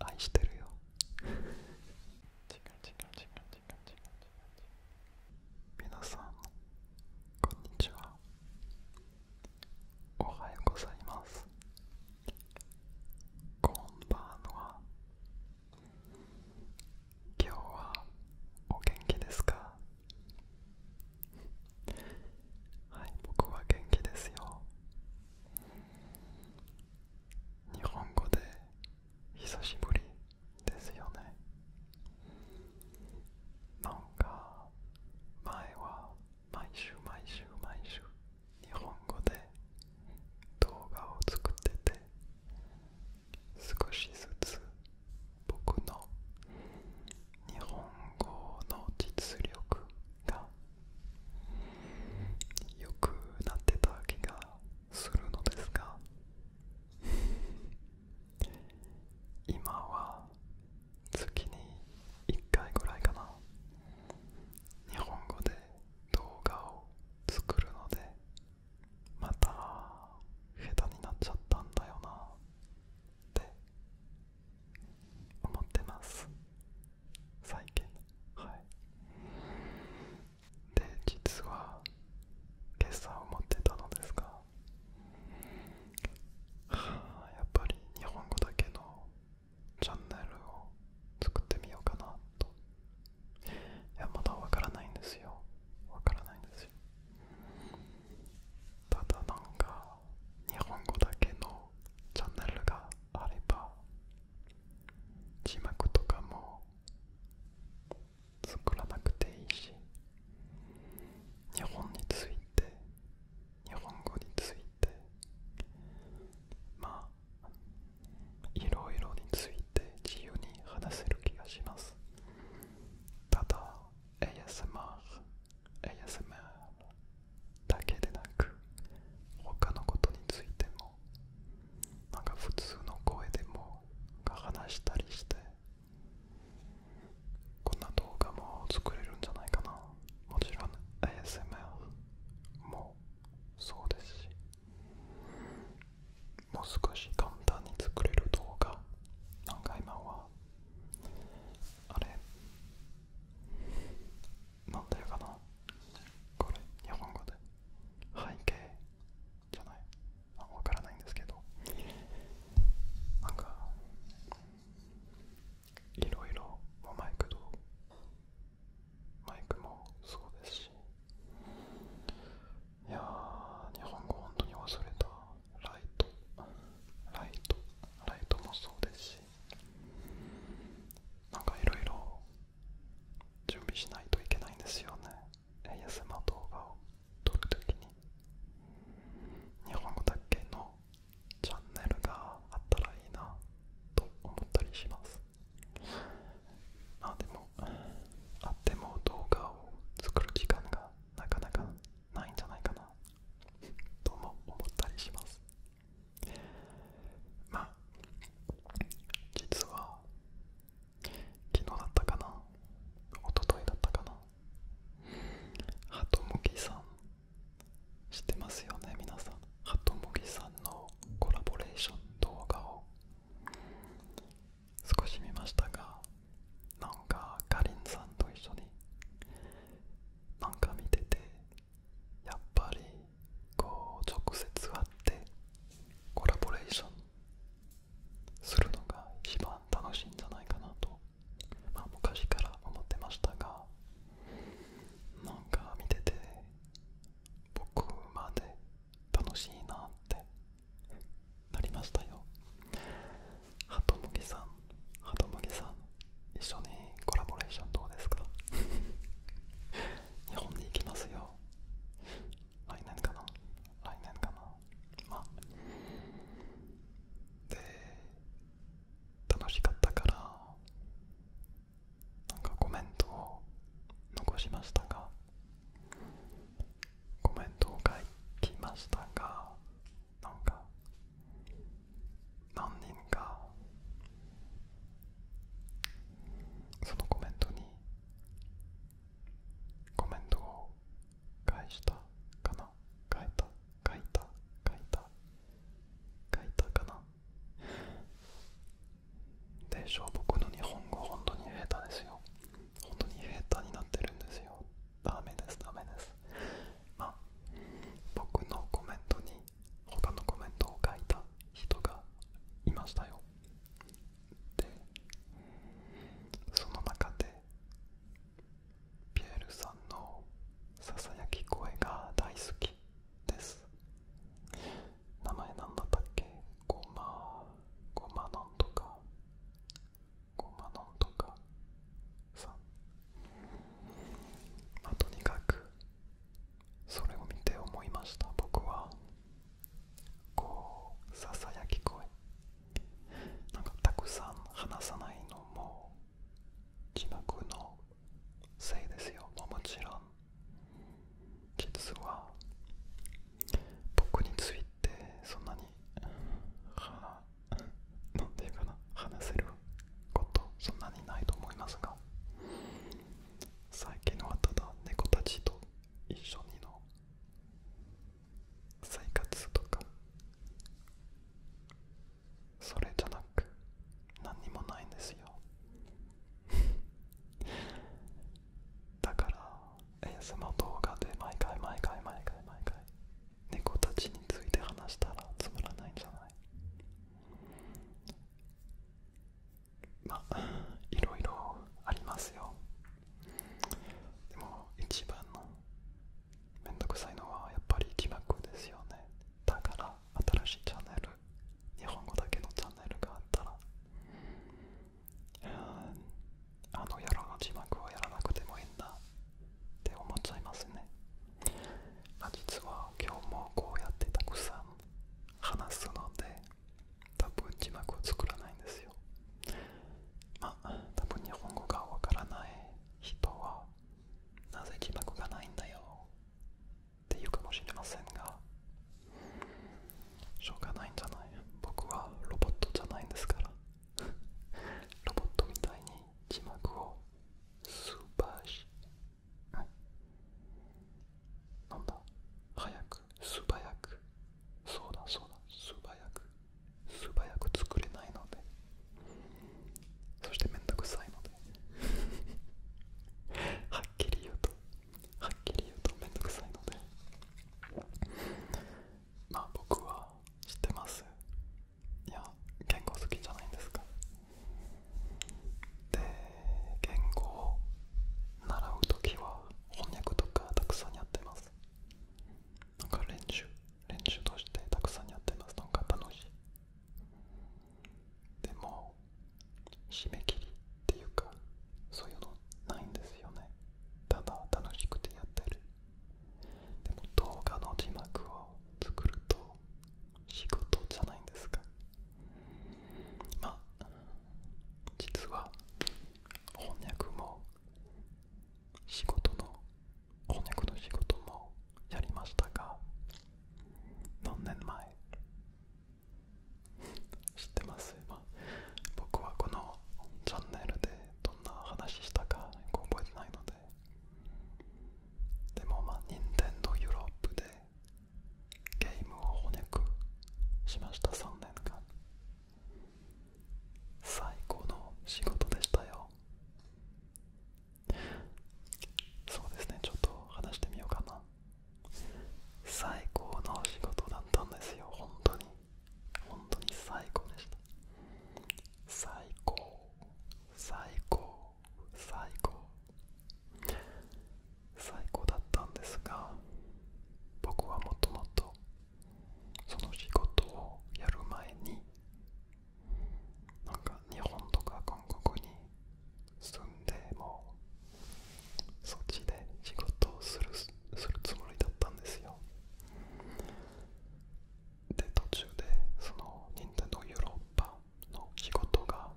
愛してるよみなさんこんにちはおはようございますこんばんは今日はお元気ですかはい僕は元気ですよ日本語で久しぶりですよねなんか前は毎週毎週毎週日本語で動画を作ってて少しずつ僕の日本語の実力が良くなってた気がするのですが 今は月に1回ぐらいかな日本語で動画を作るのでまた下手になっちゃったんだよなって思ってます再建はいで実は決算を持ってたのですがはあやっぱり日本語だけのチャンネルを作ってみようかなといやまだわからないんですよわからないんですよただなんか日本語だけのチャンネルがあれば字幕とかも作らなくていいし日本について日本語についてまあいろいろについて自由に話せる気がしますただ ASMR ASMR だけでなく他のことについてもなんか普通の声でも話したりしてこんな動画も作れるんじゃないかなもちろん ASMR もそうですしもう少し簡単に作れる動画なんか今はあれなんていかなこれ日本語で背景じゃないわからないんですけどなんかいろいろマイクとマイクもそうですしいや日本語本当に忘れたライトライトライトもそうですしなんかいろいろ準備しないといけないんですよね a s m 動画を撮るときに日本語だけのチャンネルがあったらいいなと思ったりしますまあでもあっても動画を作る時間がなかなかないんじゃないかなとも思ったりしますまあ実は昨日だったかな一昨日だったかなハトムギさん知ってますよね皆さんハトムギさんのコラボレーション動画を少し見ましたがなんかかりんさんと一緒になんか見ててやっぱりこう直接会ってコラボレーションするのが一番楽しいんじゃないかなと、ま昔から思ってましたがなんか見てて僕まで楽しいなってなりましたよ。ハトムギさん、ハトムギさん、一緒にコラボレーションどうですか 日本に行きますよ来年かな来年かなまあで楽しかったからなんかコメントを残しましたがコメントを書きましたがなんか何人かそのコメントにコメントを返したかな書いた書いた書いた書いたかなでしょう、僕の日本語本当に下手ですよ本当に下手になってるんですよダメですダメですまあ僕のコメントに他のコメントを書いた人がいましたよでその中でピエールさんのささやき声が大好きです名前なんだったっけごまごまなんとかごまなんとかさとにかくそれを見て思いました僕はこうささやき声なんかたくさん話さないのも字幕のせいですよもちろん実は僕についてそんなにはなんていうかな話せることそんなにないと思いますが最近はただ猫たちと一緒にの生活とかそれじゃなく何にもないんですよ だからエースの動画で毎回毎回毎回毎回猫たちについて話したらつまらないんじゃないまあいろいろありますよでも一番のめんどくさいのはやっぱり字幕ですよねだから新しいチャンネル日本語だけのチャンネルがあったらあの野郎の字幕をやらなくてもいいんだって思っちゃいますね実は今日もこうやってたくさん話すので多分字幕を作らないんですよまあ多分日本語がわからない人はなぜ字幕がないんだよって言うかもしれませんがしょうがないんじゃない僕はロボットじゃないんですからロボットみたいに字幕をスーパーはい、なんだ早く素早くそうだそうだ素早く素早く作れないのでそしてめんどくさいので はっきり言うとはっきり言うとめんどくさいのでまあ僕は知ってますいや言語好きじゃないんですかで言語を習う時は翻訳とかたくさんやってますなんか練習練習としてたくさんやってますなんか楽しいでも締め切りっていうかそういうのないんですよねただ楽しくてやってるでも動画の字幕を作ると仕事じゃないんですかまあ実は翻訳も仕事の翻訳の仕事もやりましたが何年前 知ってます僕はこのチャンネルでどんな話したか覚えてないのでもまあ任天堂ヨーロッパでゲームを翻く。しました3年間最高の仕事でしたよそうですねちょっと話してみようかな最高の仕事だったんですよ本当に本当に最高でした最高最高最高最高だったんですが僕はもともとその仕事をやる前になんか日本とか韓国に住んでもそっちで仕事をするするつもりだったんですよで途中でその任天堂ヨーロッパの仕事が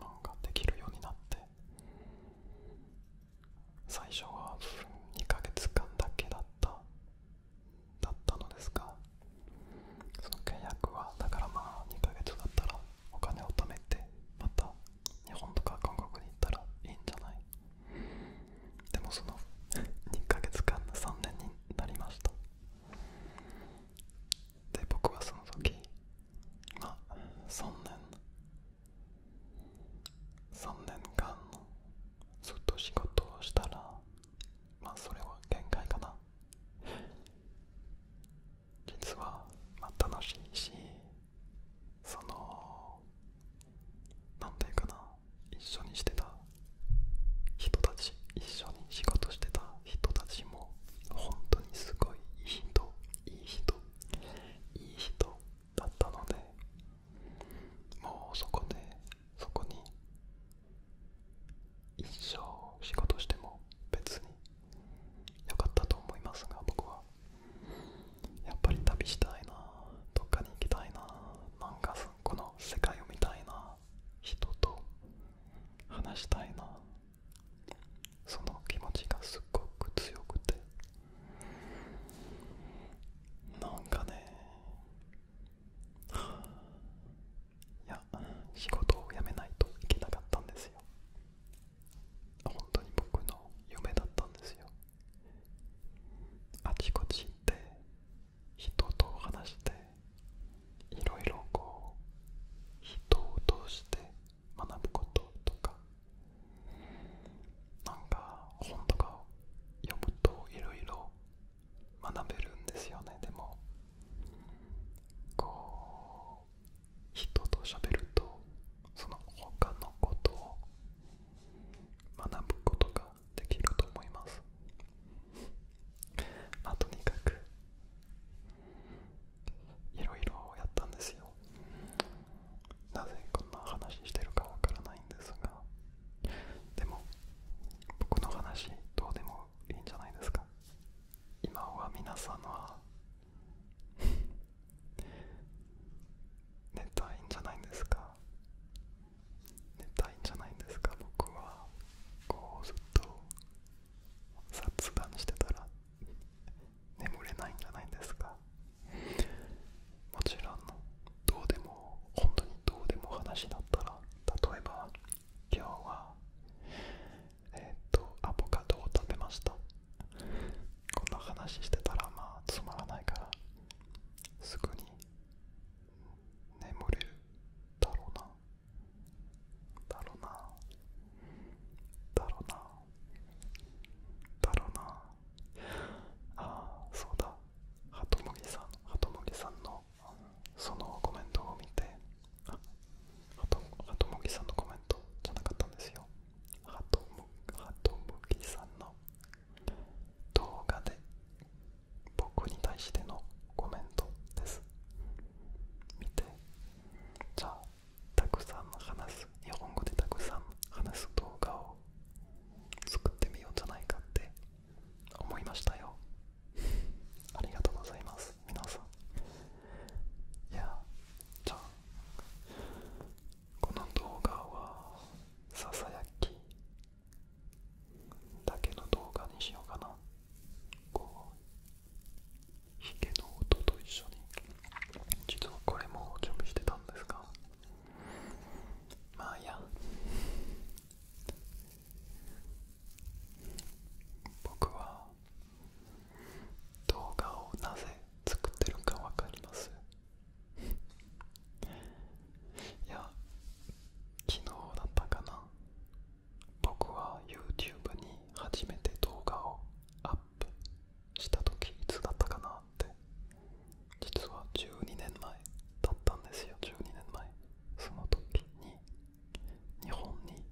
なんできるようになって最初は2ヶ月間だけだっただったのですがその契約はだからまあ2ヶ月だったらお金を貯めてまた日本とか韓国に行ったらいいんじゃないでもその2ヶ月間3年になりましたで僕はその時あ3年3年間ずっと仕事をしたらまあそれは限界かな実は、まあ、楽しいしそのなんていうかな一緒にしてた人たち一緒に仕事してた人たちも本当にすごいいい人いい人いい人だったのでもうそこでそこに一生仕事しても別に良かったと思いますが僕はやっぱり旅したいなどっかに行きたいななんこの世界を見たいな人と話したいなその気持ちがすっごく強くてなんかねいや仕事を辞めないといけなかったんですよ本当に僕の夢だったんですよあちこち行って人と話していろいろこう人を通して学ぶこととかなんか本とかを読むといろいろ学べるんですよねでもこう人と喋るとその他のことを学ぶことができると思います、あ、とにかくいろいろやったんですよなぜこんな話してるかわからないんですがでも僕の話どうでもいいんじゃないですか今は皆さんは 寝たいんじゃないですか寝たいんじゃないんですか僕はこうずっと雑談してたら眠れないんじゃないんですかもちろんどうでも本当にどうでも話だったら例えば今日はえっ、とアボカドを食べましたこんな話してたらまあつまらないからすぐに眠れるだろうなだろうなだろうなだろうなあそうだハトムギさんハトムギさんのそのコメントを見てあハトムギさんのコメントじゃなかったんですよハトムギさんの動画で僕に対してのコメントです見てじゃあたくさん話す日本語でたくさん話す動画を作ってみようじゃないかって思いましたよ ありがとうございます皆さんいやじゃあこの動画はささやきだけの動画にしようかなこうヒゲの音と一緒に実はこれも準備してたんですがまあいや僕は動画をなぜ作ってるかわかりますいや昨日だったかな僕は YouTube に初めて動画をアップした時いつだったかなって実は12年前だったんですよ12年前その時に日本に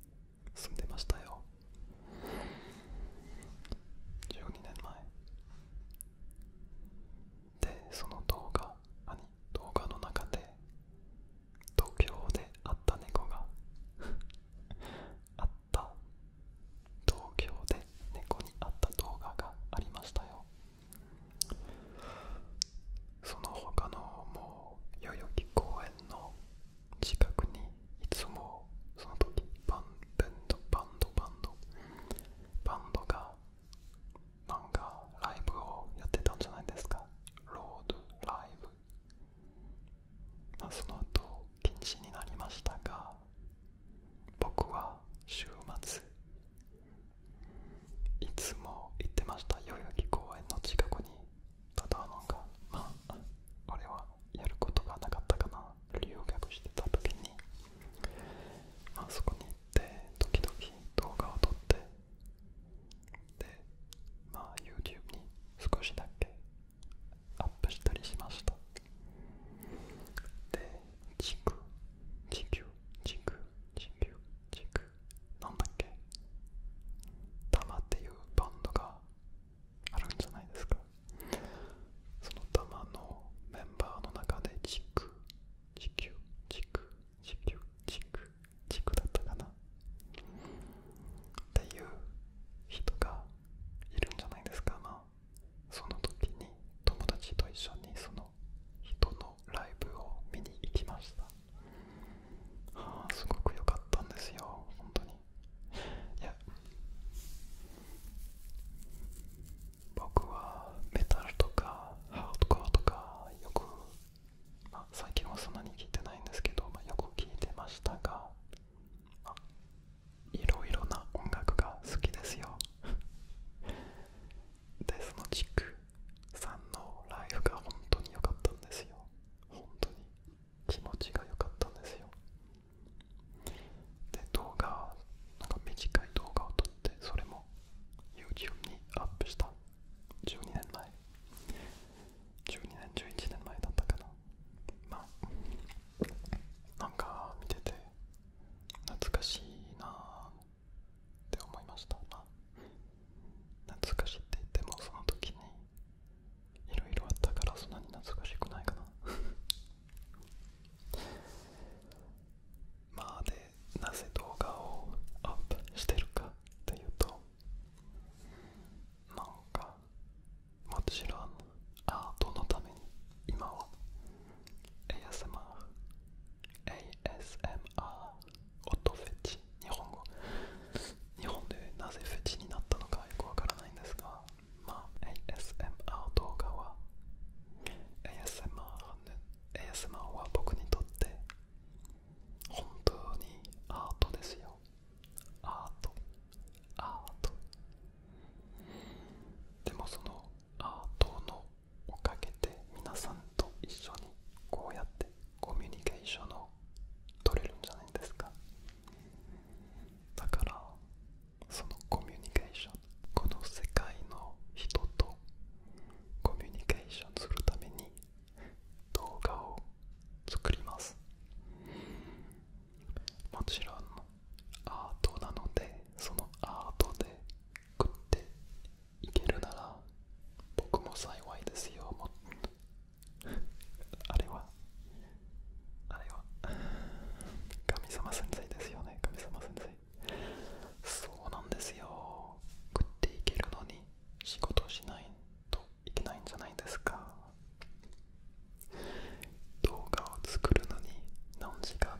住んでましたよ12年前でその動画何動画の中で東京であった猫が あった東京で猫にあった動画がありましたよその他のもう代々木公園の近くにいつもその時バンドバンドバンドバンドバンドがなんかライブをやってたんじゃないですかロードライブ、まその後禁止になりましたが僕は週末いつも行ってました代々木公園の近くにただなんかまあ俺はやることがなかったかな留学してた時にあそこにで、時々動画を撮ってでまあ YouTube に少しだけアップしたりしましたでチクチクチクチクチクなんだっけタマっていうバンドがあるんじゃないですかそのタマのメンバーの中でチクチクチク。地球地区地区だったかなっていう人がいるんじゃないですかまその時に友達と一緒にその人のライブを見に行きましたすごく良かったんですよ本当にいや僕はメタルとかハードコーとかよく、まあ、最近はそんなに聞いてないんですけど、まよく聞いてましたが、まあ、いろいろな音楽が好きですよ でそのチックさんのライフが本当に良かったんですよ本当に気持ちが良かったんですよで動画なんか短い動画を撮ってそれも YouTube にアップした12年前12年11年前だったかなまあなんか見てて懐かしいなって思いました懐かしいって言ってもその時にいろいろあったからそんなに懐かしくないかなまあでなぜ動画をアップしてるかっていうとなんかもちろんアートのために今は ASMR ASMR 音フェチ日本語日本でなぜフェチになったのかよくわからないんですがまあ ASMR 動画は ASMR ネ ASMR は僕にとって本当にアートですよアートアートでもそのアートのおかげで皆さんと一緒にこうやってコミュニケーションを取れるんじゃないですかだからそのコミュニケーション。この世界の人とコミュニケーションするために動画を作りますもちろんアートなのでそのアートで作っていけるなら僕も幸いですよ あれはあれは神様先生ですよね神様先生そうなんですよ食っていけるのに仕事しないといけないんじゃないですか動画を作るのに何時間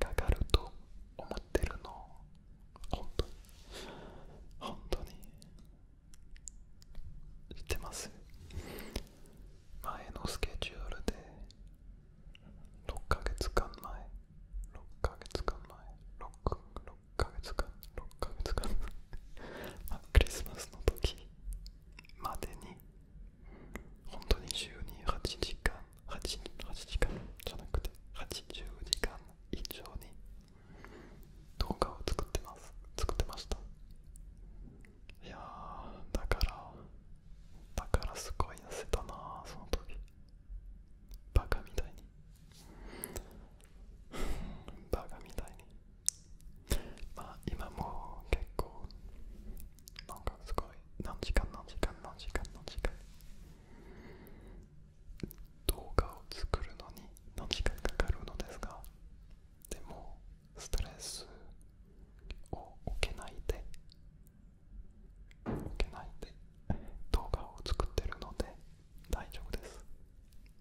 かかると思ってるの本当に本当に言ってます前のスケジュールで6ヶ月間前6ヶ月間前 6, 6ヶ月間6ヶ月間あクリスマスの時までに本当に週に8時間 8, 8時間じゃなくて80時間以上に動画を作ってます作ってましたいやだからだからすごい痩せたなその時バカみたいにバカみたいにまあ今も結構なんかすごい何時間何時間何時間何時間動画を作るのに何時間かかるのですがでもストレスを受けないで受けないで動画を作ってるので大丈夫です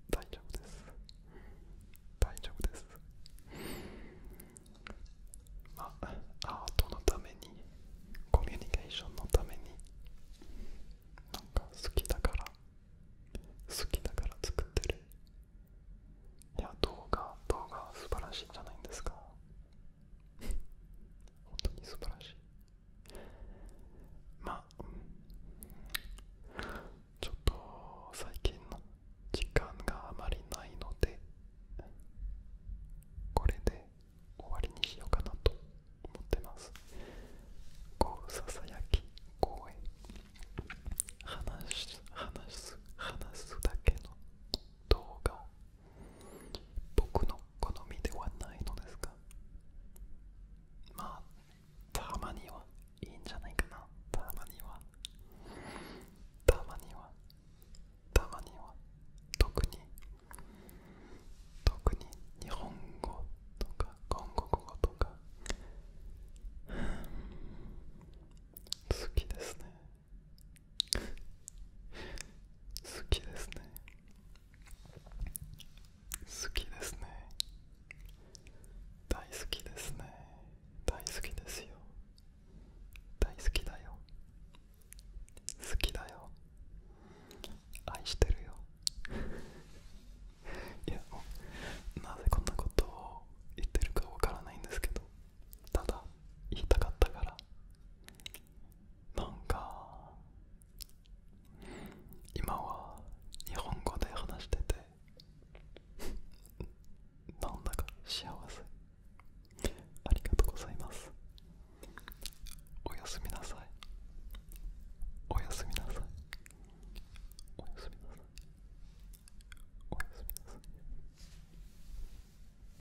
大丈夫です大丈夫ですまあアートのためにコミュニケーションのためになんか好きだから好きだから作ってるいや動画動画素晴らしいんじゃないんですか本当に素晴らしいまあ、うん、ちょっと最近の時間があまりないのでこれで終わりにしようかなと思ってますこうささやき声話す話す話すだけの動画僕の好みではないのですがまあたまにはいいんじゃないかなたまにはたまにはたまには特に特に日本語とか韓国語とか好きですね好きですね好きですね大好きですね大好きですよ大好きだよ好きだよ愛してるよ いやもうなぜこんなことを言ってるかわからないんですけどただ言いたかったからなんか今は日本語で話してて なんだか幸せありがとうございますおやすみなさいおやすみなさいおやすみなさいおやすみなさい